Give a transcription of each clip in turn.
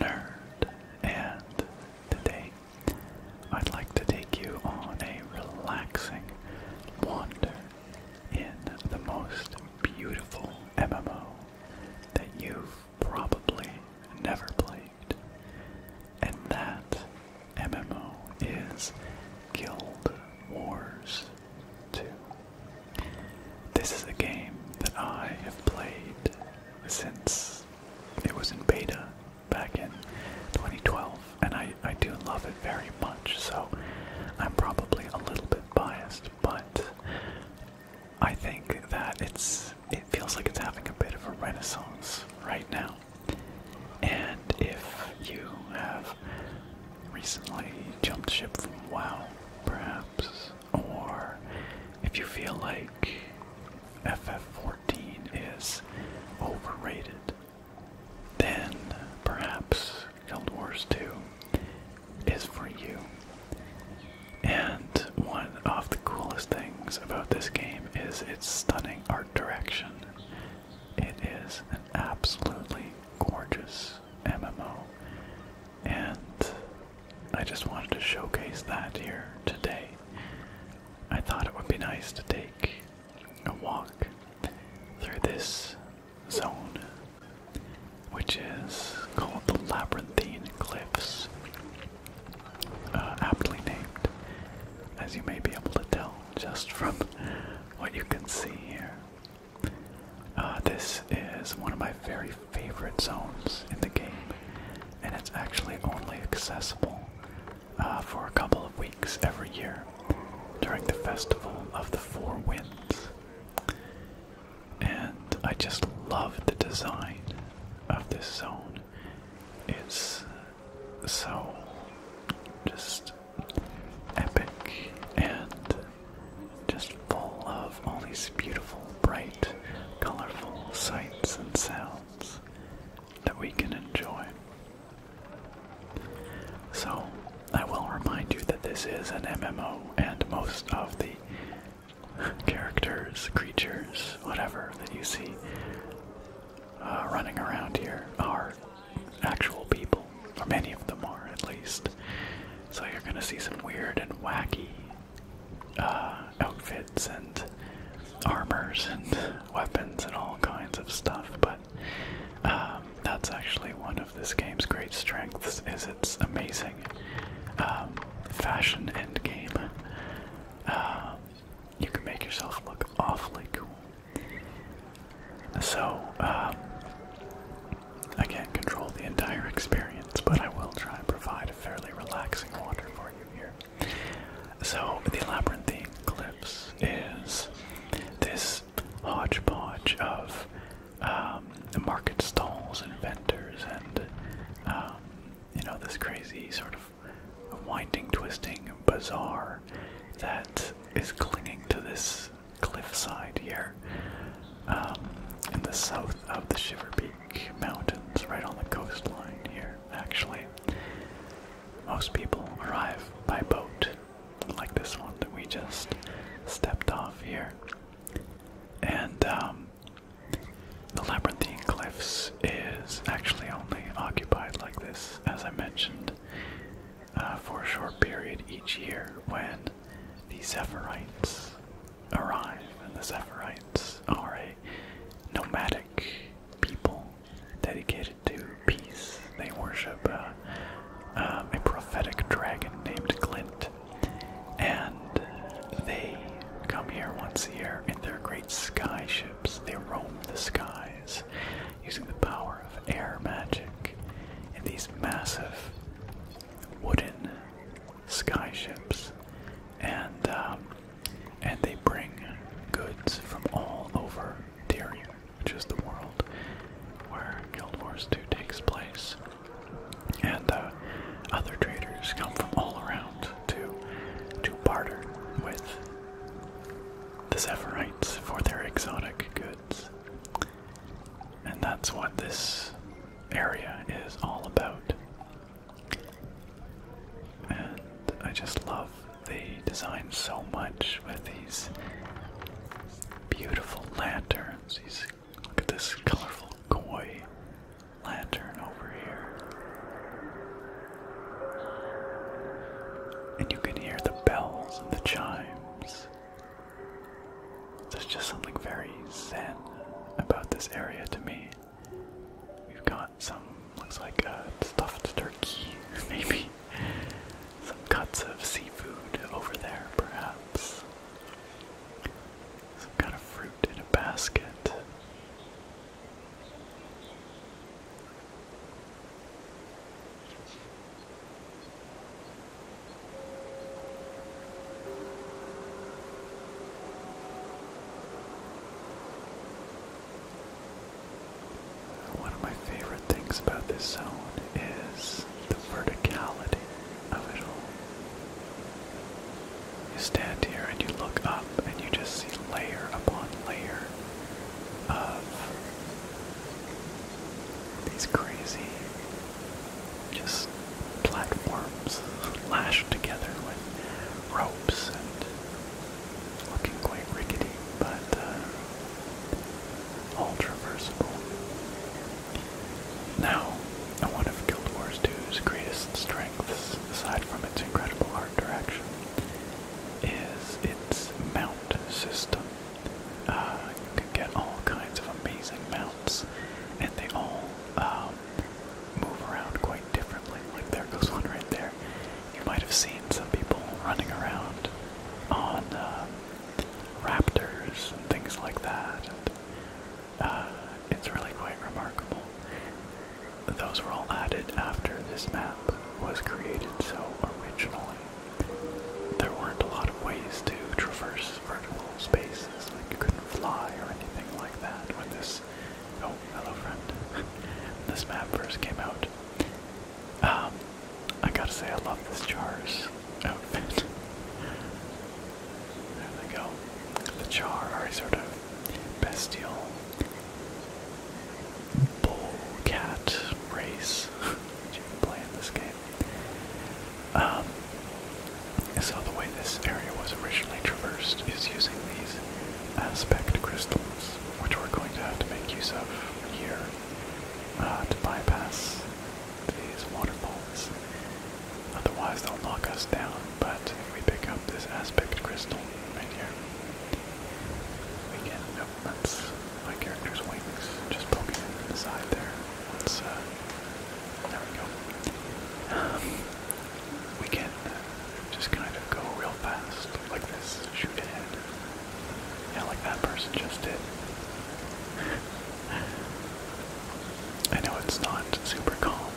nerd, and today I'd like to take you on a relaxing wander in the most beautiful MMO that you've probably never played. And that MMO is Guild Wars 2. This is a game that I have played since it was in beta back in 2012, and I, I do love it very much, so I'm probably a little bit biased, but I think that it's it feels like it's having a bit of a renaissance right now. And if you have recently jumped ship from WoW, perhaps or if you feel like FF14 is overrated, then perhaps Guild Wars 2 is for you. And one of the coolest things about this game is its stunning art direction. It is an absolutely gorgeous MMO and I just wanted to showcase that here today. I thought it would be nice to take a walk through this zone, which is called the Labyrinthine Cliffs, uh, aptly named, as you may be able to tell just from what you can see here. Uh, this is one of my very favorite zones in the game, and it's actually only accessible uh, for a couple of weeks every year during the Festival of the Four Winds. And I just love the design of this zone. It's so just epic and just full of all these beautiful, bright colourful sights and sounds that we can enjoy. So, I will remind you that this is an MMO, and most of the characters, creatures, whatever that you see uh, running around here are actual people, or many of them are at least. So, you're gonna see some weird and wacky uh, outfits and armors and weapons and all kinds of stuff, but um, that's actually one of this game's great strengths is its amazing um, fashion end game. Um, you can make yourself look awfully cool. So, I can't control the entire experience, but I will try and provide fairly relaxing water for you here. So, the labyrinthine Eclipse is this hodgepodge of um, market stalls and vendors and, um, you know, this crazy sort of winding, twisting bazaar that is clinging to this cliffside here um, in the south of the Shiver Peak mountains right on the coastline here, actually. Most people arrive by boat, like this one that we just stepped off here. And um, the Labyrinthine Cliffs is actually only occupied like this, as I mentioned, uh, for a short period each year when the Zephyrites arrive, and the Zephyrites are a nomadic people dedicated to peace. They worship uh, uh, a prophetic dragon named Glint, and they come here once a year in their great sky ships. They roam the skies using the power of air magic in these massive wooden sky ships, and um, and they bring goods from all over Tyrion, which is the world where Guild Wars 2 takes place. And uh, other traders come from all around to to barter with the Zephyrites for their exotic goods. And that's what this area is all about. And I just love the design so much with these beautiful lanterns. These, look at this colorful koi lantern over here. And you can hear the bells and the chimes. There's just something very zen about this area to me. We've got some, looks like a uh, stuffed turkey, maybe. Some cuts of seafood over there, perhaps. Some kind of fruit in a basket. One of my favorite things about this zone is the verticality of it all. You stand here and you look up and you just see layer upon layer of these crazy just platforms lashed together with ropes and looking quite rickety, but uh, all traversable. Now, one of Guild Wars 2's greatest strengths, aside from its incredible art direction, is its mount system. Uh, you can get all kinds of amazing mounts, and they all uh, um, move around quite differently. Like there goes one right there. You might have seen some people running around on uh, raptors and things like that. And, uh, it's really quite remarkable. Those were all added after this map was created, so originally there weren't a lot of ways to traverse vertical spaces, like you couldn't fly or anything like that when this, oh, fellow friend, this map first came out. Um, I gotta say I love this Char's outfit. Oh, there they go. The Char are a sort of bestial bull cat race, which you play this game. Um, so the way this area was originally traversed is using these aspect crystals, which we're going to have to make use of here uh, to bypass these waterfalls. Otherwise, they'll knock us down, but if we pick up this aspect crystal right here, we can, nope, that's my character's wings just poking in the side there. Let's there we go. Um, we can just kind of go real fast, like this, shoot ahead. Yeah, like that person just did. I know it's not super calm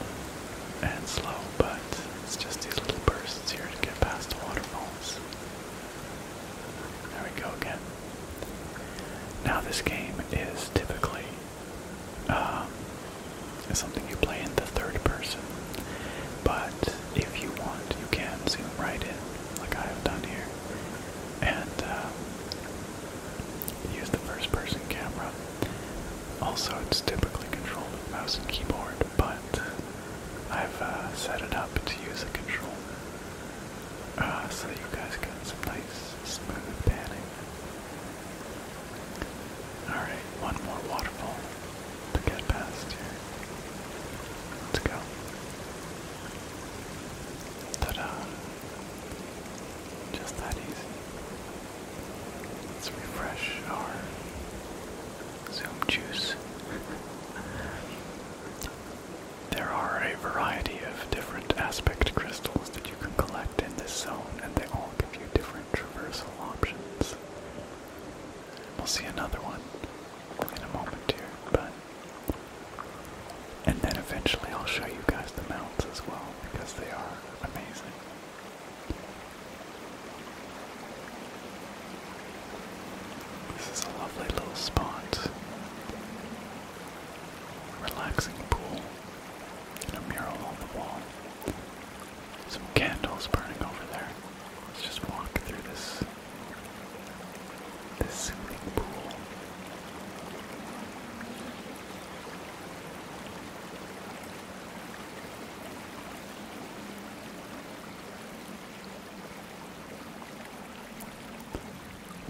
and slow, but it's just these little bursts here to get past the waterfalls. There we go again. Now, this game is typically um, it's something you play in the third person. But if you want, you can zoom right in, like I have done here, and um, use the first person camera. Also, it's typically controlled with mouse and keyboard, but I've uh, set it up to use a controller uh, so that you guys get some nice smooth panning. Alright, one more waterfall to get past here. Let's go. Ta-da! Just that easy. Let's refresh our Zoom juice. there are a variety of different aspect crystals to you can collect in this zone, and they all give you different traversal options. We'll see another one in a moment here, but. And then eventually I'll show you guys the mounts as well, because they are amazing. This is a lovely little spot. Relaxing pool a mural on the wall. Some candles burning over there. Let's just walk through this this soothing pool.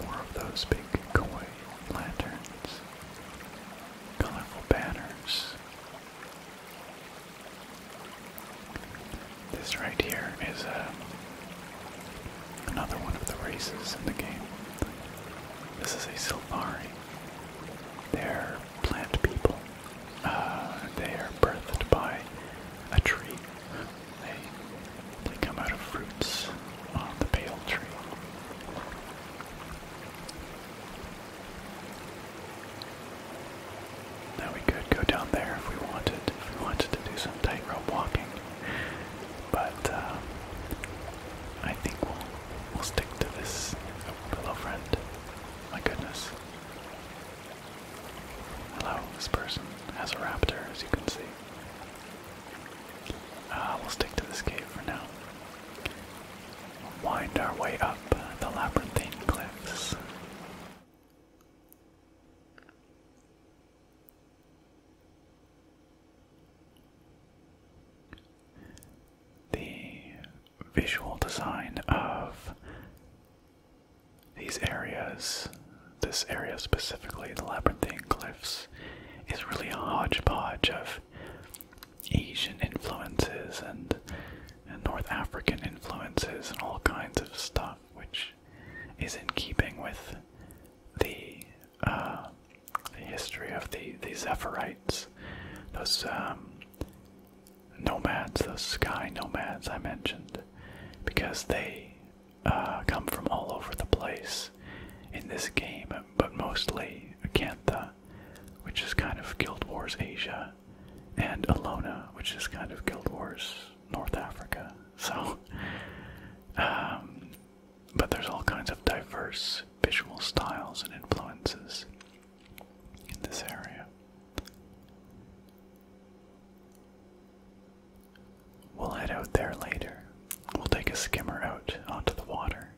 More of those big koi lanterns colorful banners. This right here is uh, another one of the races in the game. This is a Silvari. They're plant people. Uh, they are birthed by a tree. they come out of fruits on the pale tree. Now we could go down there if we wanted. If we wanted to do some tightrope walking, but uh, I think we'll we'll stick to this. Oh, friend. My goodness. Hello. This person has a raptor, as you can see. Uh, we'll stick to this cave for now. We'll wind our way up the labyrinthine cliffs. The visual design of these areas, this area specifically, the labyrinthine cliffs, is really a hodgepodge of Asian influences and, and North African influences and all kinds of stuff, which is in keeping with the uh, history of the the Zephyrites, those um, nomads, those sky nomads I mentioned, because they uh, come from all over the place in this game but mostly Acantha, which is kind of Guild Wars Asia, and Alona, which is kind of Guild Wars North Africa. So, um, but there's all kinds of diverse visual styles and influences in this area. We'll head out there later. We'll take a skimmer out onto the water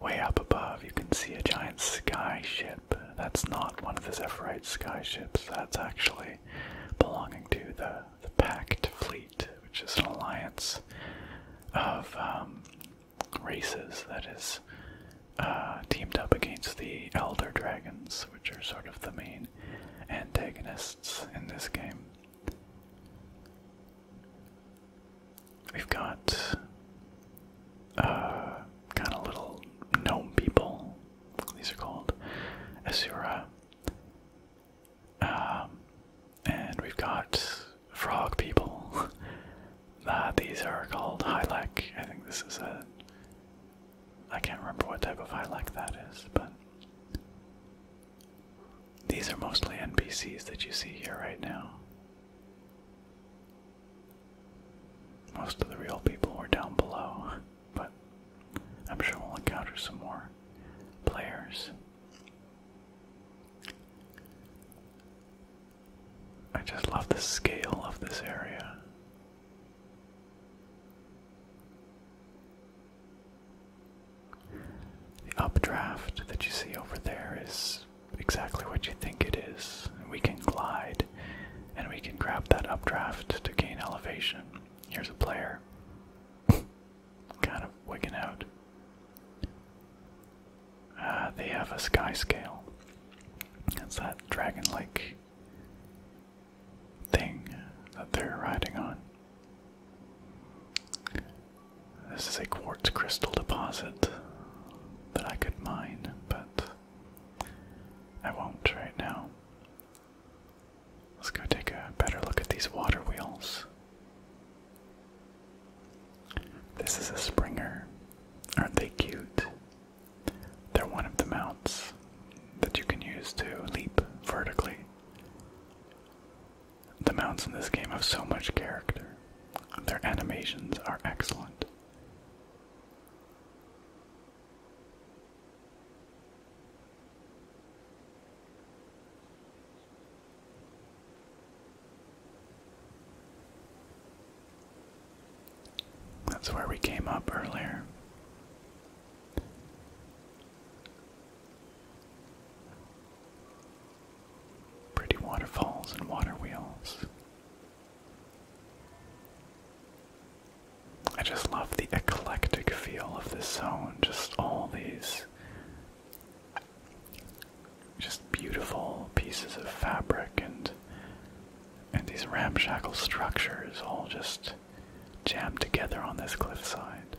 Way up above, you can see a giant sky ship. That's not one of the Zephyrite sky ships, that's actually belonging to the, the Pact Fleet, which is an alliance of um, races that is uh, teamed up against the Elder Dragons, which are sort of the main antagonists in this game. We've got uh, kind of little gnome people. These are called Asura. Um, and we've got frog people. Uh, these are called Hylek. I think this is a. I can't remember what type of Hylek that is, but these are mostly NPCs that you see here right now. Most of the real people were down below, but I'm sure we'll encounter some more players. I just love the scale of this area. The updraft that you see over there is exactly what you think it is. We can glide and we can grab that updraft to gain elevation. Here's a player kind of wigging out. Ah, they have a sky scale. That's that dragon like thing that they're riding on. This is a quartz crystal deposit that I could mine, but I won't right now. Let's go take a better look at these water wheels. This is a Springer. Aren't they cute? They're one of the mounts that you can use to leap vertically. The mounts in this game have so much character. Their animations are excellent. That's where we came up earlier. Pretty waterfalls and water wheels. I just love the eclectic feel of this zone, just all these just beautiful pieces of fabric and and these ramshackle structures all just jammed together on this cliffside.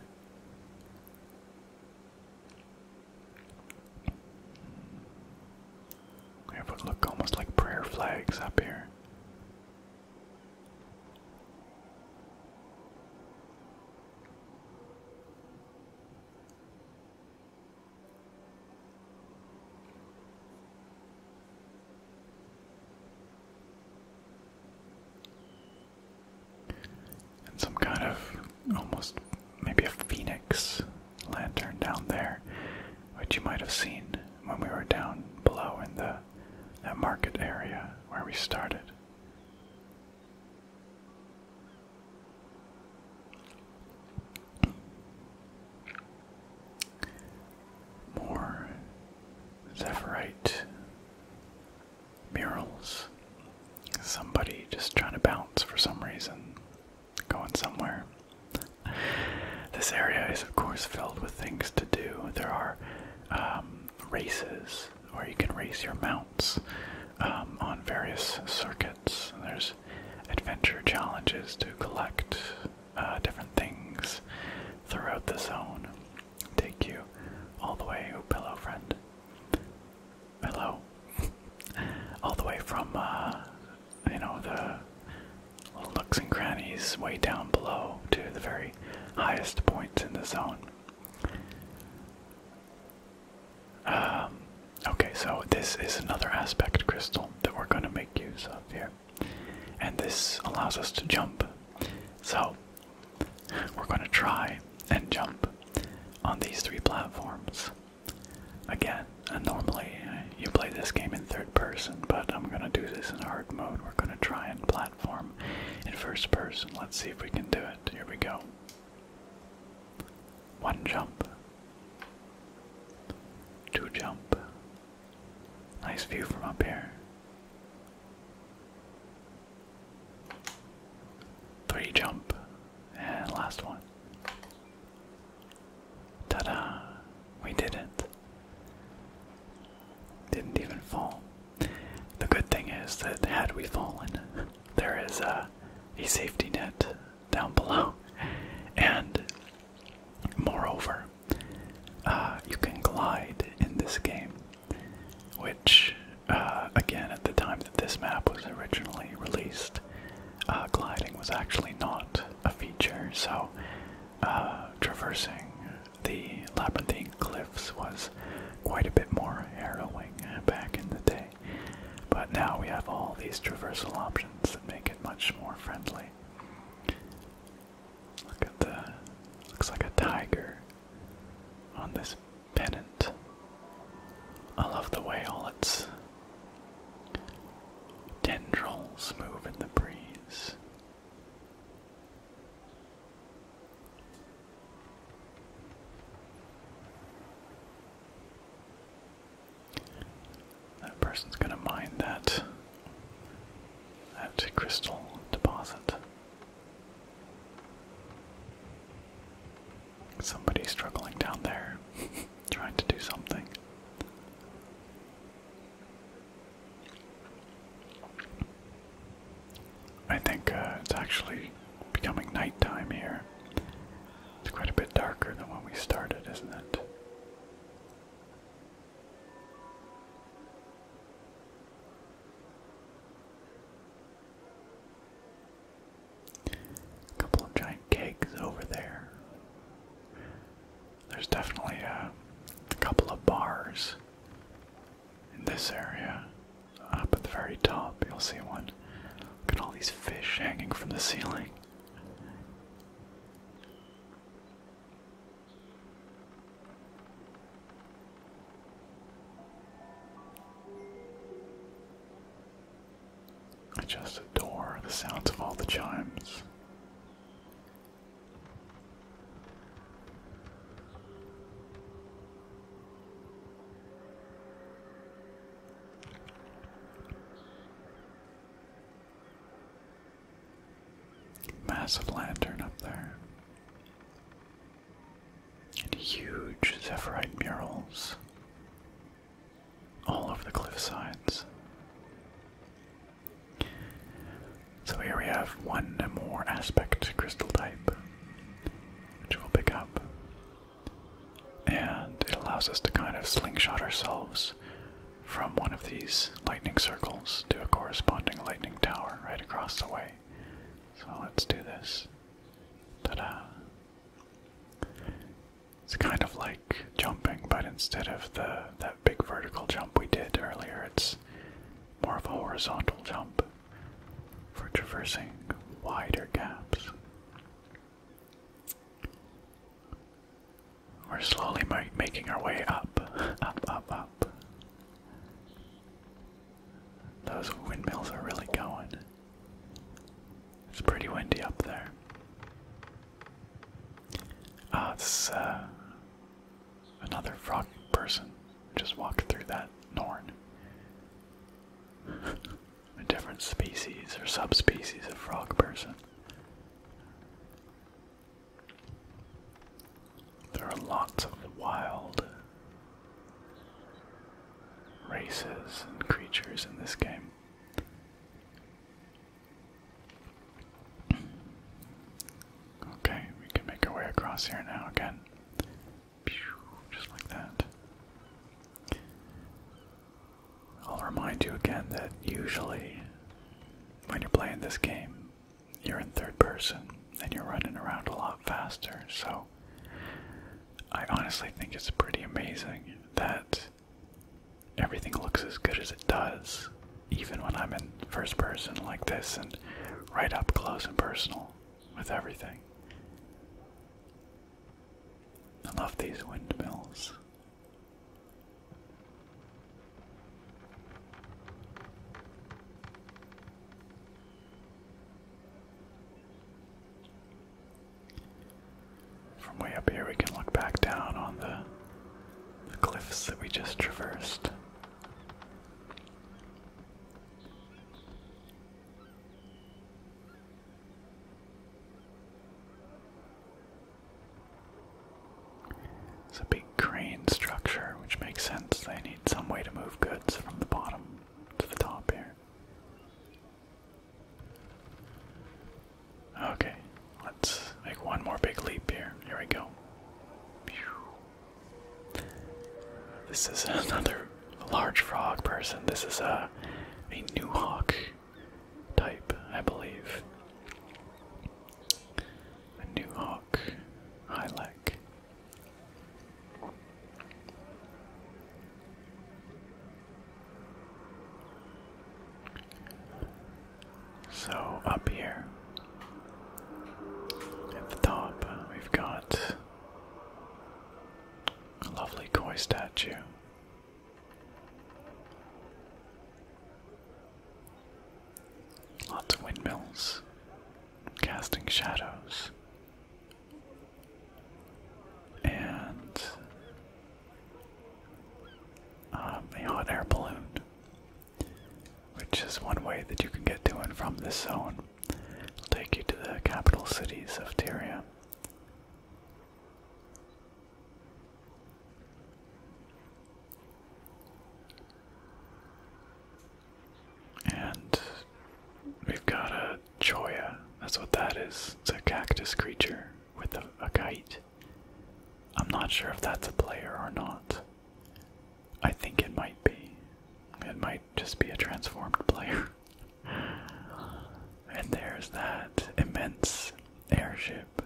We have look almost like prayer flags up here. And some kind of almost maybe a phoenix lantern down there, which you might have seen when we were down below in the that market area where we started. More Zephyrite murals. Somebody just trying to bounce for some reason, going somewhere. This area is, of course, filled with things to do. There are um, races where you can race your mounts um, on various circuits. There's adventure challenges to collect uh, different things throughout the zone. Take you all the way, oh pillow friend, Hello. All the way from, uh, you know, the little nooks and crannies way down below to the very highest points in the zone. Um, okay, so this is another aspect crystal that we're going to make use of here. And this allows us to jump. So, we're going to try and jump on these three platforms. Again, and uh, normally uh, you play this game in third person, but I'm going to do this in hard mode. We're going to try and platform in first person. Let's see if we can do it. Here we go. One jump. Two jump. Nice view from up here. Three jump. And last one. Ta da! We did it. Didn't even fall. The good thing is that had we fallen, there is a, safety net down below. And moreover, uh, you can glide in this game which, uh, again, at the time that this map was originally released, uh, gliding was actually not a feature, so uh, traversing the labyrinthine cliffs was quite a bit more harrowing back in the day. But now we have all these traversal options that make it much more friendly. Look at the. looks like a tiger on this pennant. I love the way all its tendrils move in the breeze. That person's gonna mine that that crystal deposit. Somebody struggling down there, trying to do something. I think uh, it's actually becoming nighttime here. It's quite a bit darker than when we started, isn't it? A couple of giant kegs over there. There's definitely uh, a couple of bars in this area. Up at the very top, you'll see one. Look at all these fish hanging from the ceiling. I just adore the sounds of all the chimes. Massive lantern up there huge Zephyrite murals all over the cliff sides. So here we have one more aspect crystal type, which we'll pick up. And it allows us to kind of slingshot ourselves from one of these lightning circles to a corresponding lightning tower right across the way. So let's do this. Ta-da! It's kind of like jumping, but instead of the that big vertical jump we did earlier, it's more of a horizontal jump for traversing wider gaps. We're slowly making our way up, up, up, up. Those windmills are really going. It's pretty windy up there. Ah, it's uh, another frog person just walked through that Norn. A different species or subspecies of frog person. There are lots of wild races and creatures in this game. Okay, we can make our way across here now again. Just like that. I'll remind you again that usually when you're playing this game, you're in third person and you're running around a lot faster. So I honestly think it's pretty amazing that everything looks as good as it does, even when I'm in first person like this and right up close and personal with everything. I love these windmills. From way up here, we can look back down on the, cliffs that we just traversed. It's a big crane structure, which makes sense. They need some way to move goods from the bottom to the top here. Okay, let's make one more big leap here. Here we go. This is another large frog person. This is a, a new hawk type, I believe. A new hawk. I like. So, up here at the top, we've got a lovely koi statue. Lots of windmills casting shadows. And um, a hot air balloon, which is one way that you can get to and from this zone. will take you to the capital cities of Tyria. And we've got a choya. That's what that is. It's a cactus creature with a, a kite. I'm not sure if that's a player or not. I think it might be. It might just be a transformed player. and there's that immense airship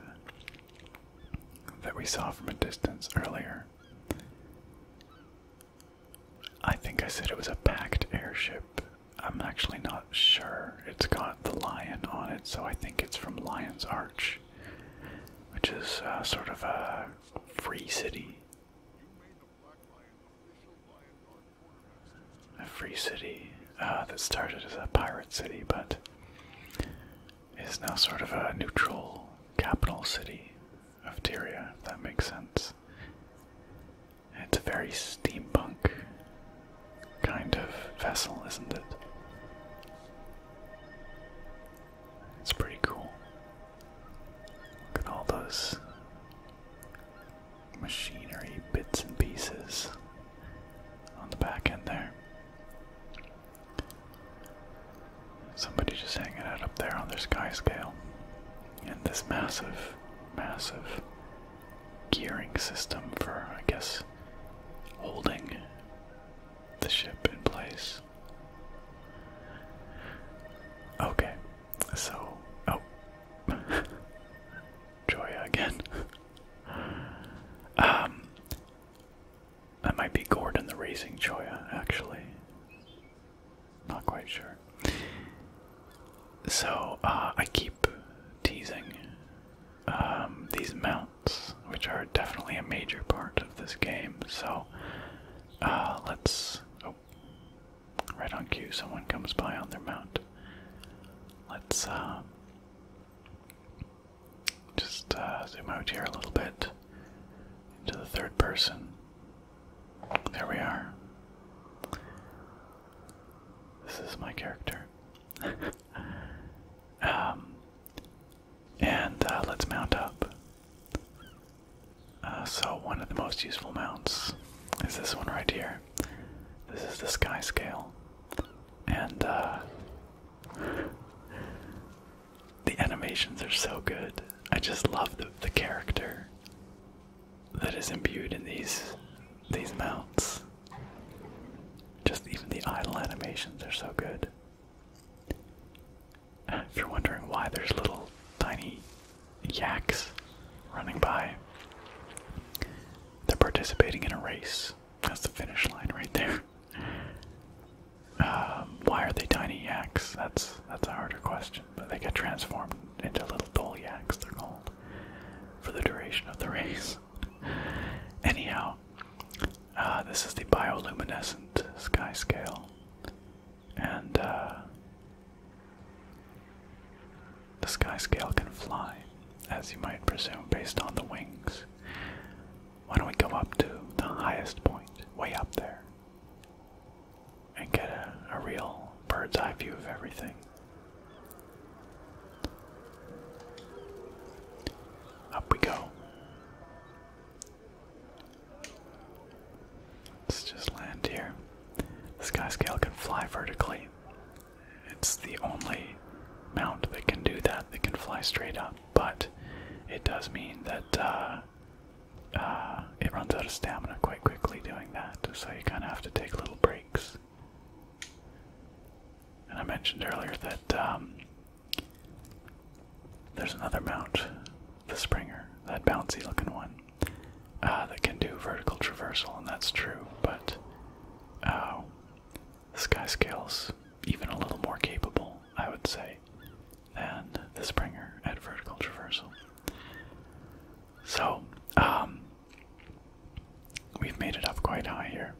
that we saw from a distance earlier. I think I said it was a packed airship. I'm actually not sure. It's got the lion on it, so I think it's from Lion's Arch, which is uh, sort of a free city. A free city uh, that started as a pirate city, but is now sort of a neutral capital city of Tyria, if that makes sense. It's a very steampunk kind of vessel, isn't it? It's pretty cool. Look at all those machinery bits and pieces on the back end there. Somebody just hanging out up there on their sky scale. in this massive, massive gearing system for, I guess, holding the ship in place. Okay, so. Oh. Joya again. um. That might be Gordon the raising Joya, actually. Not quite sure. So uh, I keep teasing um, these mounts, which are definitely a major part of this game. So uh, let's. Oh, right on cue, someone comes by on their mount. Let's uh, just zoom out here a little bit into the third person. There we are. This is my character. um, and uh, let's mount up. Uh, so, one of the most useful mounts is this one right here. This is the Sky Scale. And, uh, The animations are so good. I just love the, the character that is imbued in these these mounts. Just even the idle animations are so good. If you're wondering why there's little tiny yaks running by, they're participating in a race. That's the finish line right there. Um, why are they tiny yaks? That's that's a harder question. But they get transformed into little dole yaks, they're called, for the duration of the race. Anyhow, uh, this is the bioluminescent sky scale, and uh, the sky scale can fly, as you might presume, based on the wings. Why don't we go up to the highest point, way up there? and get a, real bird's eye view of everything. Up we go. Let's just land here. The skyscale can fly vertically. It's the only mount that can do that, that can fly straight up, but it does mean that uh, uh, it runs out of stamina quite quickly doing that, so you kind of have to take little breaks. And I mentioned earlier that um, there's another mount, the Springer, that bouncy looking one, uh, that can do vertical traversal, and that's true, but uh, the Skyscale's even a little more capable, I would say and the Springer at Vertical Traversal. So, um, we've made it up quite high here,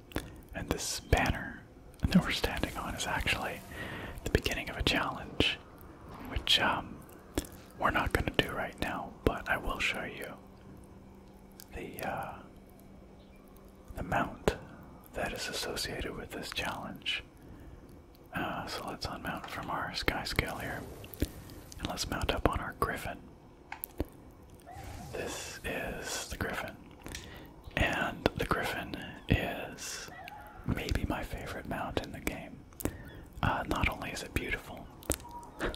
and this banner that we're standing on is actually the beginning of a challenge, which um, we're not going to do right now, but I will show you the uh, the mount that is associated with this challenge. Uh, so let's unmount from our sky scale here. And let's mount up on our griffin. This is the griffin. And the griffin is maybe my favorite mount in the game. Uh, not only is it beautiful,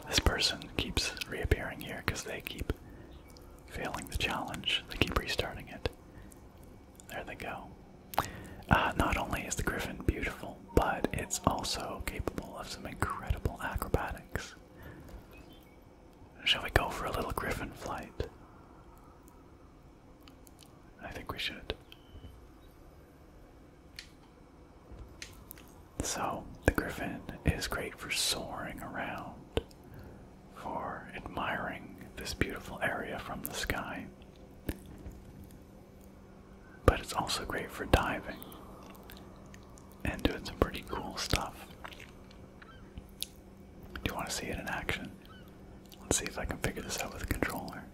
this person keeps reappearing here because they keep failing the challenge, they keep restarting it. There they go. Uh, not only is the griffin beautiful, but it's also capable of some incredible acrobatics. Shall we go for a little griffin flight? I think we should. So, the griffin is great for soaring around, for admiring this beautiful area from the sky. But it's also great for diving and doing some pretty cool stuff. Do you want to see it in action? Let's see if I can figure this out with a controller.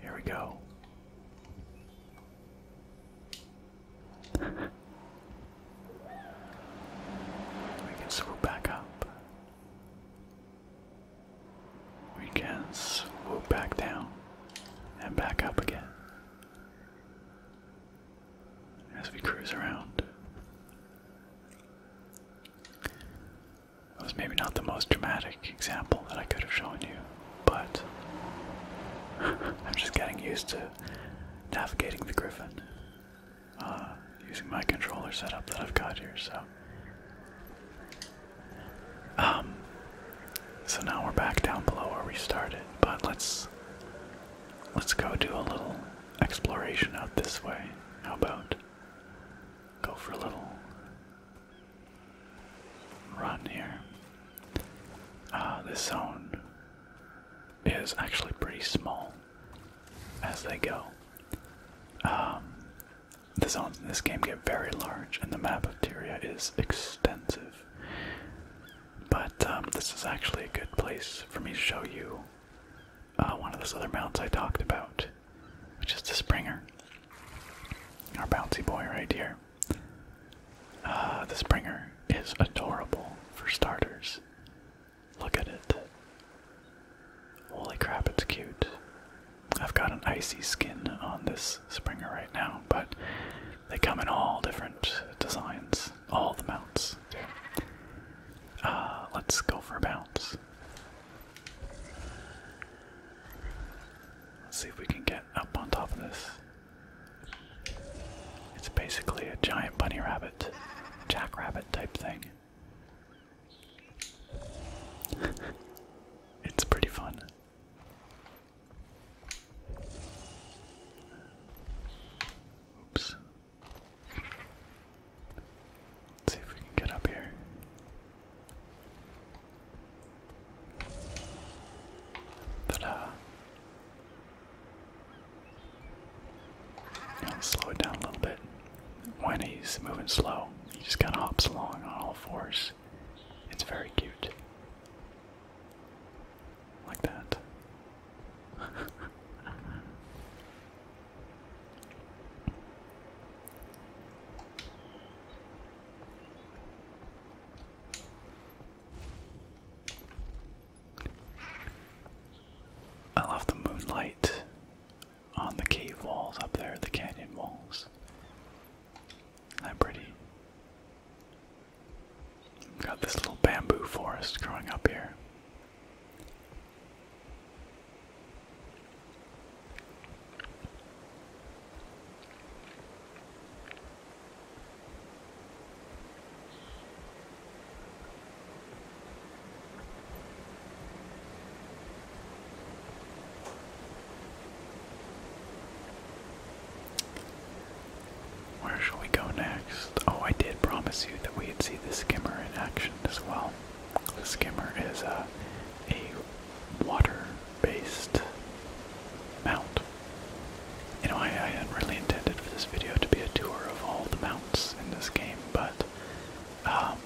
Here we go. we can swoop back up. We can swoop back down and back up again as we cruise around. That was maybe not the most dramatic example that I could have shown you, but I'm just getting used to navigating the griffin. Uh, using my controller setup that I've got here. So, um, so now we're back down below where we started. But let's let's go do a little exploration out this way. How about go for a little run here? Uh, this zone is actually pretty small as they go. Um, the zones in this game get very large, and the map of Tyria is extensive. But um, this is actually a good place for me to show you uh, one of those other mounts I talked about, which is the Springer. Our bouncy boy right here. Uh, the Springer is adorable for starters. Look at it. Holy crap, it's cute. I've got an icy skin on this Springer right now, but they come in all different designs, all the mounts. Uh, let's go for a bounce. Let's see if we can get up on top of this. It's basically a giant bunny rabbit, jackrabbit type thing it's pretty fun. Oops. see if we can get up here. Ta-da! I'll slow it down a little bit. When he's moving slow, he just kind of hops along on all fours. It's very cute. Like that. I love the moonlight on the cave walls up there, the canyon walls. Isn't that pretty? We've got this little bamboo forest growing up here. Where shall we go next? Oh, I did promise you that we'd see the skimmer in action as well. The skimmer is uh, a, water-based mount. You know, I, hadn't really intended for this video to be a tour of all the mounts in this game, but um,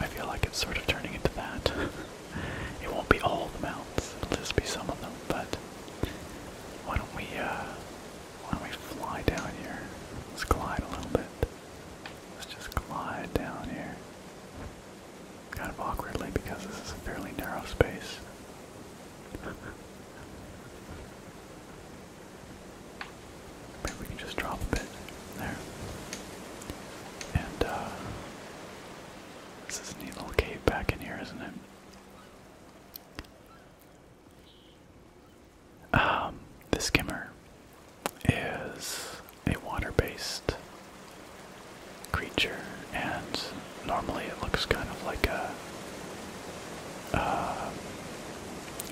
I feel like it's sort of turning into that. it won't be all the mountains; it'll just be some of them, but why don't we uh why don't we fly down here? Let's glide a little bit. Let's just glide down here. Kind of awkwardly because this is a fairly narrow space. Maybe we can just drop a bit there. And, uh, this is a neat cave back in here, isn't it? Um, the skimmer is a water based creature, and normally it looks kind of like a uh,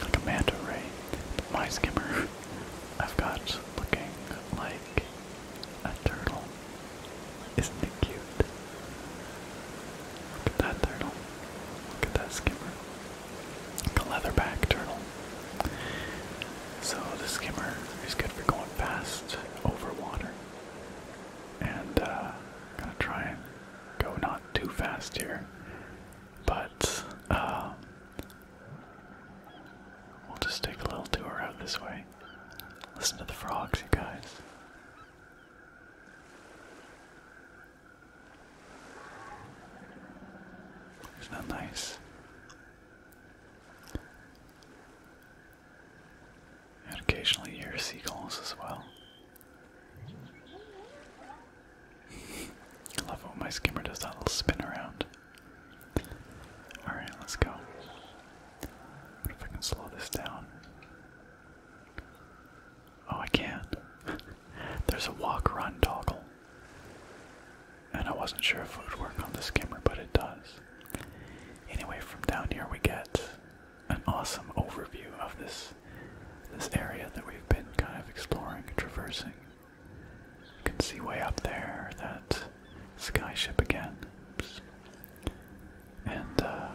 like a manta ray, my skimmer I've got looking like a turtle. Isn't it cute? Look at that turtle. Look at that skimmer. Like a leatherback turtle. So the skimmer is good for going fast over water. And uh gonna try and go not too fast here. But um, we'll just take a little tour out this way. Listen to the frogs, you guys. Isn't nice? And occasionally hear seagulls as well. I love when my skimmer does that little spin around. Alright, let's go. What if I can slow this down? Oh, I can. not There's a walk run toggle. And I wasn't sure if it would work on the skimmer, but it does. Anyway, from down here we get an awesome overview of this this area that we've been kind of exploring, and traversing. You can see way up there that sky ship again. And uh,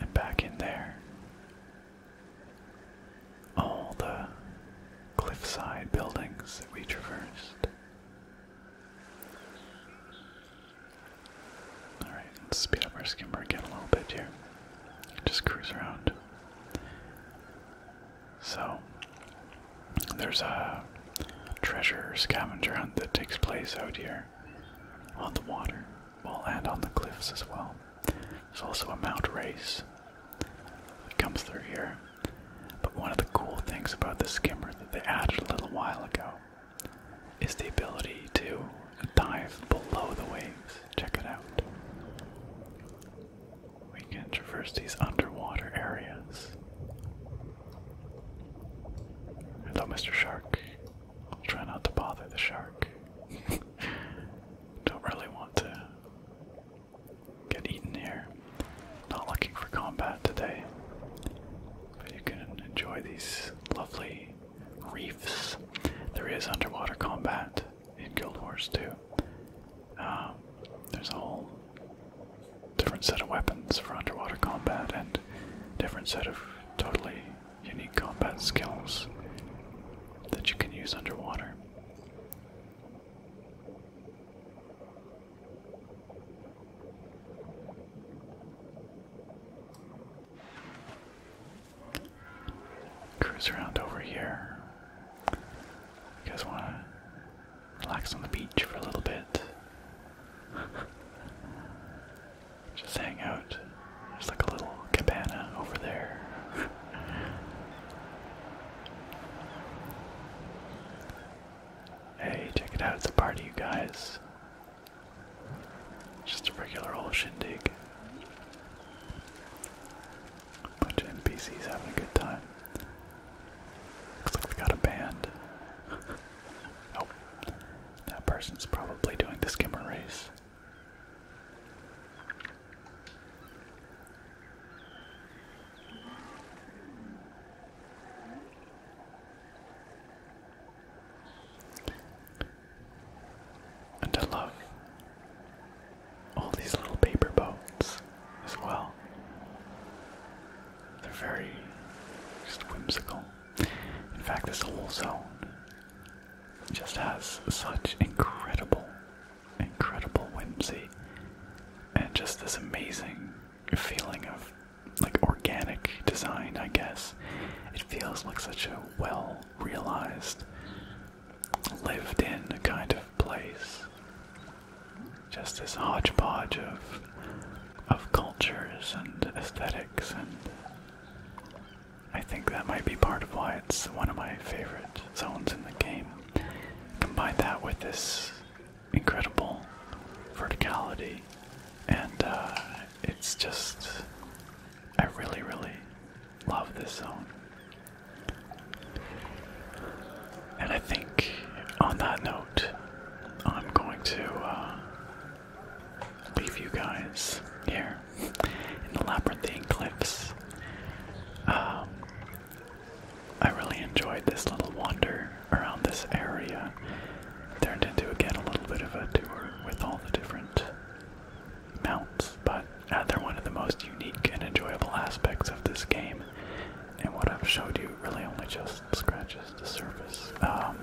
and back in there. All the cliffside buildings that we traversed. Alright, let's speed up our skimmer again a little bit here. Just cruise around. So, there's a treasure scavenger hunt that takes place out here on the water, well, and on the cliffs as well. There's also a mount race that comes through here. But one of the cool things about the skimmer that they added a little while ago is the ability to dive below the waves. Check it out. We can traverse these underwater areas. Hello, Mr. Shark. I'll try not to bother the shark. Don't really want to get eaten here. Not looking for combat today. But you can enjoy these lovely reefs. There is underwater combat in Guild Wars 2. Um, there's a whole different set of weapons for underwater combat and different set of totally unique combat skills that you can use underwater. Cruise around over here. You guys want to relax on the beach for a little bit? Just hang out. There's like a little cabana over there. hey, check it out. It's a party, you guys. Just a regular old shindig. Bunch of NPCs having a good time. Looks like we got a band. oh, that person's probably doing the skimmer race. And I love all these little paper boats as well. They're very whimsical. In fact, this whole zone just has such incredible, incredible whimsy and just this amazing feeling of like organic design, I guess. It feels like such a well realized lived in a kind of place. Just this hodgepodge of of cultures and aesthetics and I think that might be part of why it's one of my favorite zones in the game. Combine that with this incredible verticality and uh, it's just I really really Love this zone. And I think on that note, I'm going to uh, leave you guys here in the Labyrinthine Cliffs. Um, I really enjoyed this little wander around this area. Turned into again a little bit of a tour with all the different mounts, but uh, they're one of the most unique and enjoyable aspects of this game. And what I've showed you really only just scratches the surface. and um,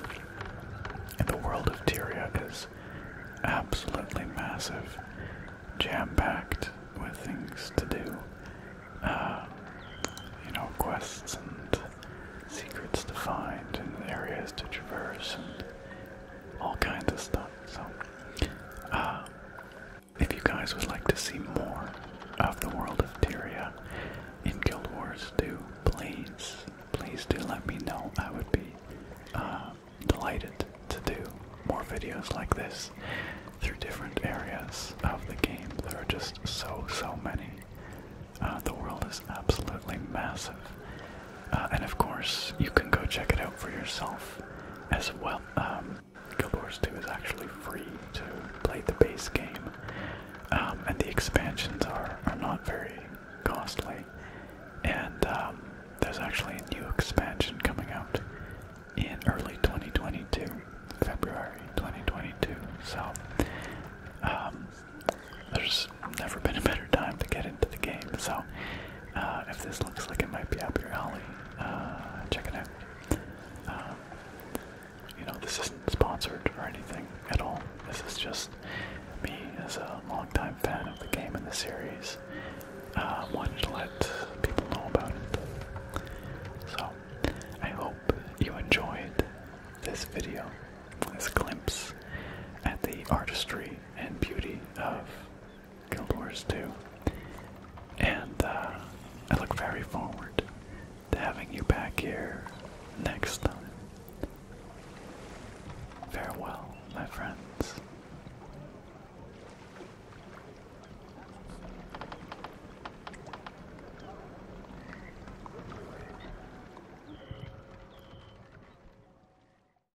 the world of Tiria is absolutely massive, jam-packed with things to do. Uh, you know, quests and secrets to find and areas to traverse all kinds of stuff. So, uh, if you guys would like to see more of the world of Tyria in Guild Wars 2, please, please do let me know. I would be uh, delighted to do more videos like this through different areas of the game. There are just so, so many. Uh, the world is absolutely massive, uh, and of course, you can go check it out for yourself as well. Um, Guild Wars 2 is actually free to play the base game, um, and the expansions are, are not very costly. And um, there's actually a new expansion coming out in early 2022, February 2022. So um, there's never been a better time to get into the game. So uh, if this looks like it might be up your alley, uh, check it out. Um, you know, this isn't sponsored or anything at all. This is just me as a longtime fan of the game and the series. Uh, wanted to let people know about it. So, I hope you enjoyed this video, this glimpse at the artistry and beauty of Guild Wars 2. And uh, I look very forward to having you back here next time. Farewell, my friends.